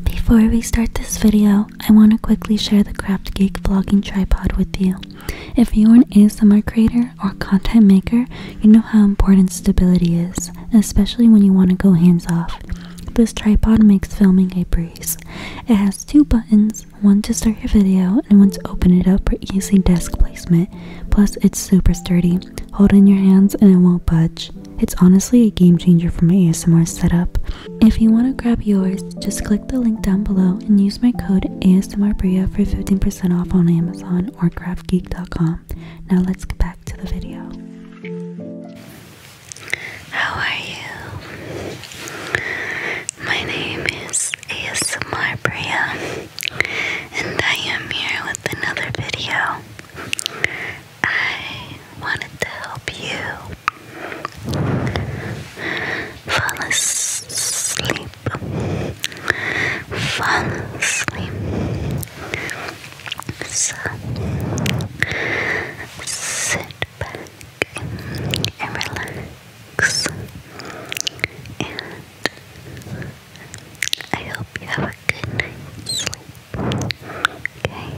Before we start this video, I want to quickly share the Craft Geek vlogging tripod with you. If you're an ASMR creator or content maker, you know how important stability is, especially when you want to go hands off. This tripod makes filming a breeze. It has two buttons one to start your video and one to open it up for easy desk placement. Plus, it's super sturdy. Hold in your hands and it won't budge. It's honestly a game changer for my ASMR setup. If you want to grab yours, just click the link down below and use my code ASMRBria for 15% off on Amazon or craftgeek.com. Now let's get back to the video. How are you? My name is ASMR Bria, and I am here with another video. I wanted to help you fall asleep. Fall asleep. So, sit back and relax. And I hope you have a good night's sleep. Okay.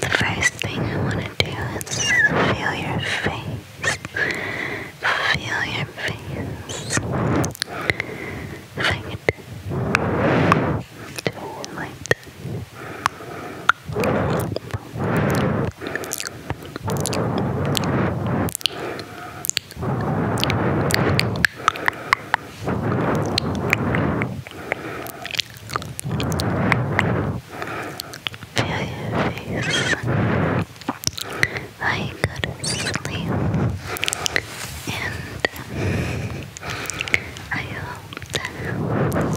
The first thing I want to do is feel your face. Feel your face. If I could do it like face. I could sleep, and I hope that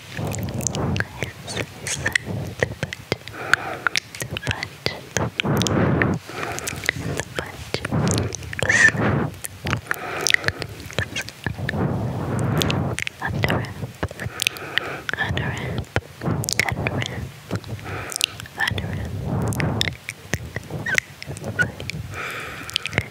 is that the punch, the punch, under wrap, under wrap, under wrap, under wrap.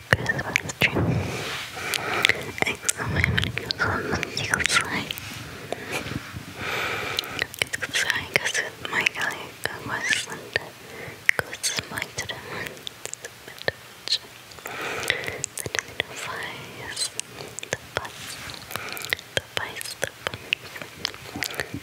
Christmas tree. And somebody goes on the eagle flying. Eagle flying goes with my guy, a Westland, goes to my to the moon, the bit The tornado the bus, the bus, the bus.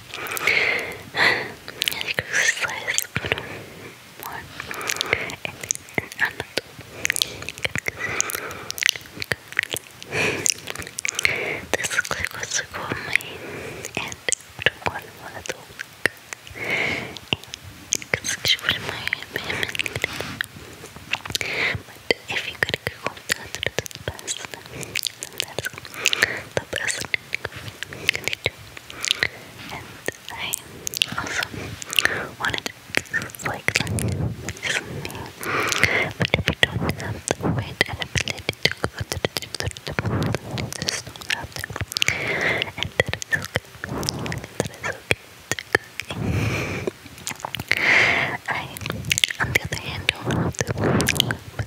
eu as exercise for more and another. This is like what's called my and one more Excuse my but if you eu go to the person, then that's the person. And I also wanted to like this me. But if you don't have the and ability to go to the gym, to the gym, you just don't have them. And okay. That is okay. It's okay. I, on the other hand, don't have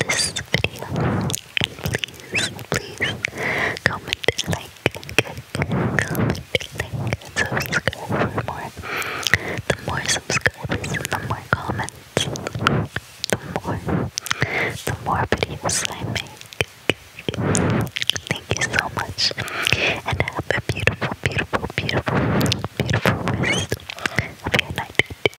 this video. Please, please comment, like, comment, like, subscribe for more. The more subscribers and the more comments, the more, the more videos I make. Thank you so much, and have a beautiful, beautiful, beautiful, beautiful rest of your night.